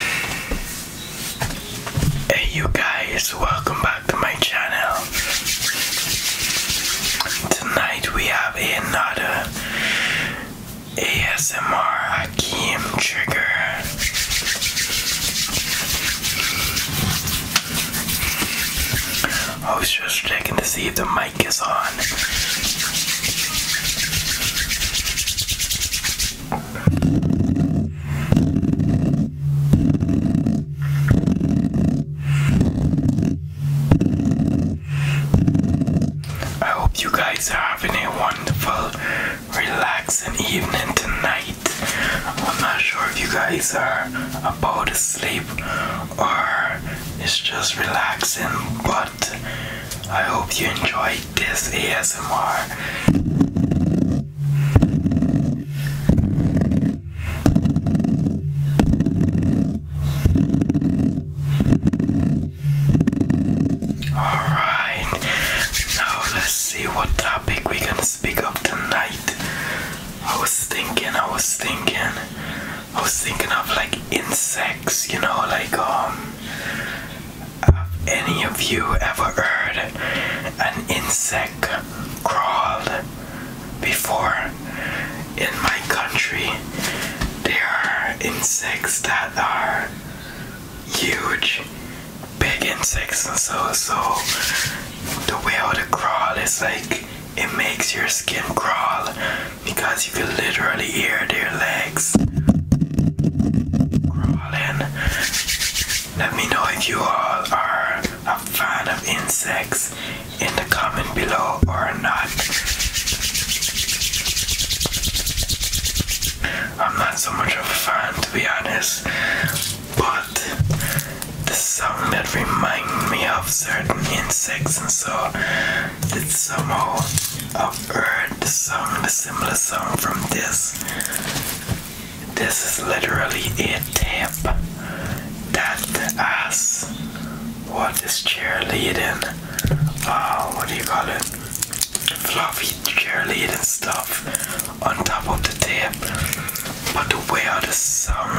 Hey you guys, welcome back to my channel. Tonight we have another ASMR Hakim trigger. I was just checking to see if the mic is on. I hope you guys are having a wonderful, relaxing evening tonight. I'm not sure if you guys are about to sleep or it's just relaxing, but I hope you enjoy this ASMR. Alright, now let's see what topic we can speak of tonight. I was thinking, I was thinking, I was thinking of like insects, you know, like um have any of you ever heard an insect crawl before? In my country, there are insects that are huge, big insects, and so so the way how the crawl is like it makes your skin crawl because you can literally hear their legs crawling. Let me know if you all are a fan of insects in the comment below or not. I'm not so much a fan to be honest, but the sound that reminds me of certain insects and so did somehow have heard the song, the similar song from this. This is literally a tape that asks what is cheerleading, uh, what do you call it, fluffy cheerleading stuff on top of the tape. But the way of the song,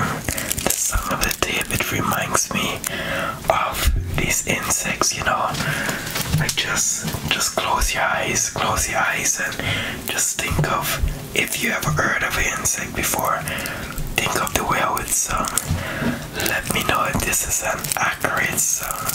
the song of the tape, it reminds me of these insects, you know. Like just just close your eyes, close your eyes and just think of if you ever heard of an insect before, think of the whale song. Let me know if this is an accurate song.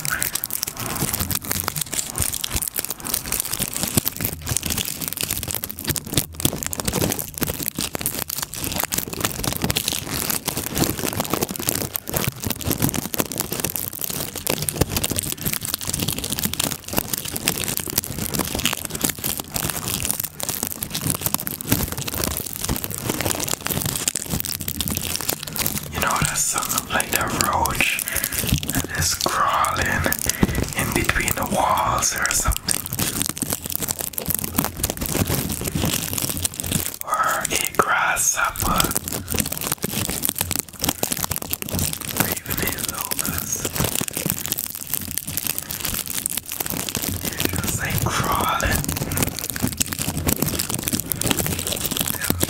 You know that song like the roach that is crawling in between the walls or something or a grasshopper, even a locust. just like crawling.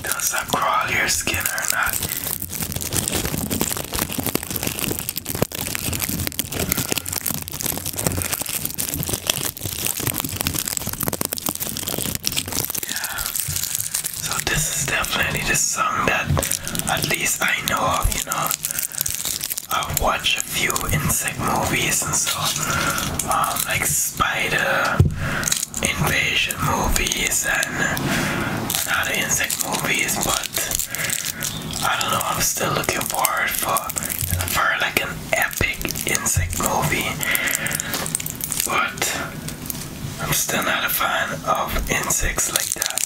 doesn't crawl your skin or not. So this is definitely the song that at least I know of, you know. i watch a few insect movies and so um, like spider invasion movies and other insect movies but I don't know I'm still looking forward for for like an epic insect movie, but I'm still not a fan of insects like that.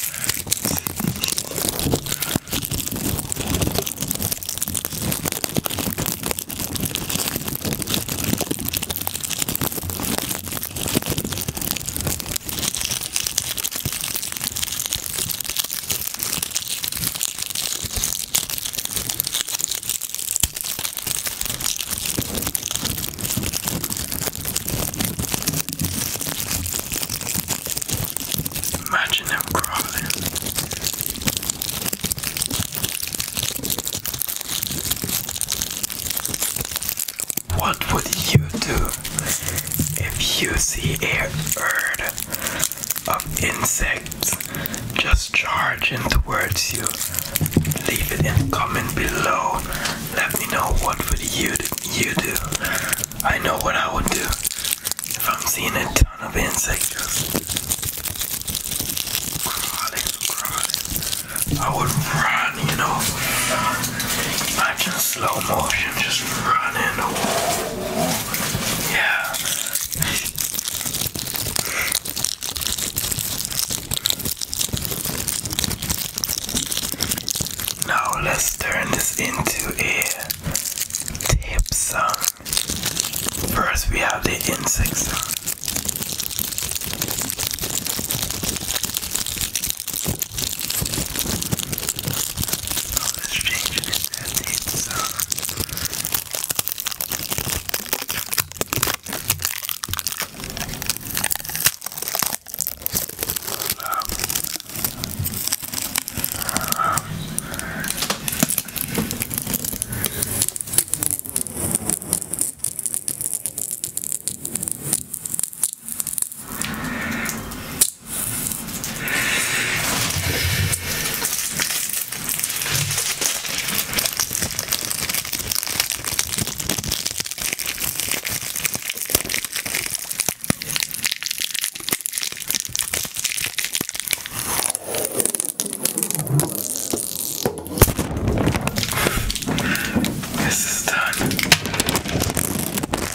Imagine them crawling. What would you do if you see a bird of insects, just charge in towards you. Leave it in comment below. Let me know what would you you do. I know what I would do if I'm seeing a ton of insects crawling, crawling. I would run, you know. Imagine slow motion, just running. Now let's turn this into a tape song. First we have the insect song. Notice changing it and it's uh um, um, this is done.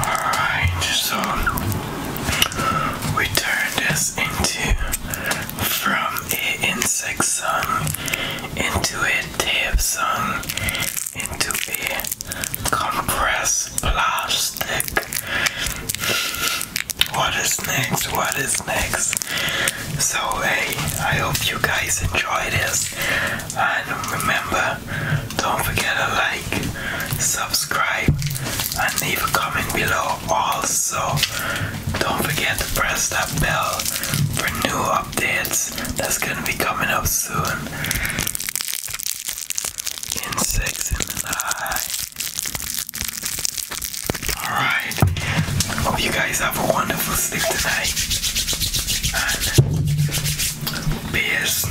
Alright, so we turn this into from a insect song into a tape song into a compressed plastic. What is next? What is next? So hey, I hope you guys enjoy this and remember don't forget to like, subscribe, and leave a comment below. Also, don't forget to press that bell for new updates that's gonna be coming up soon. Insects Alright. Hope you guys have a wonderful sleep tonight. And beers.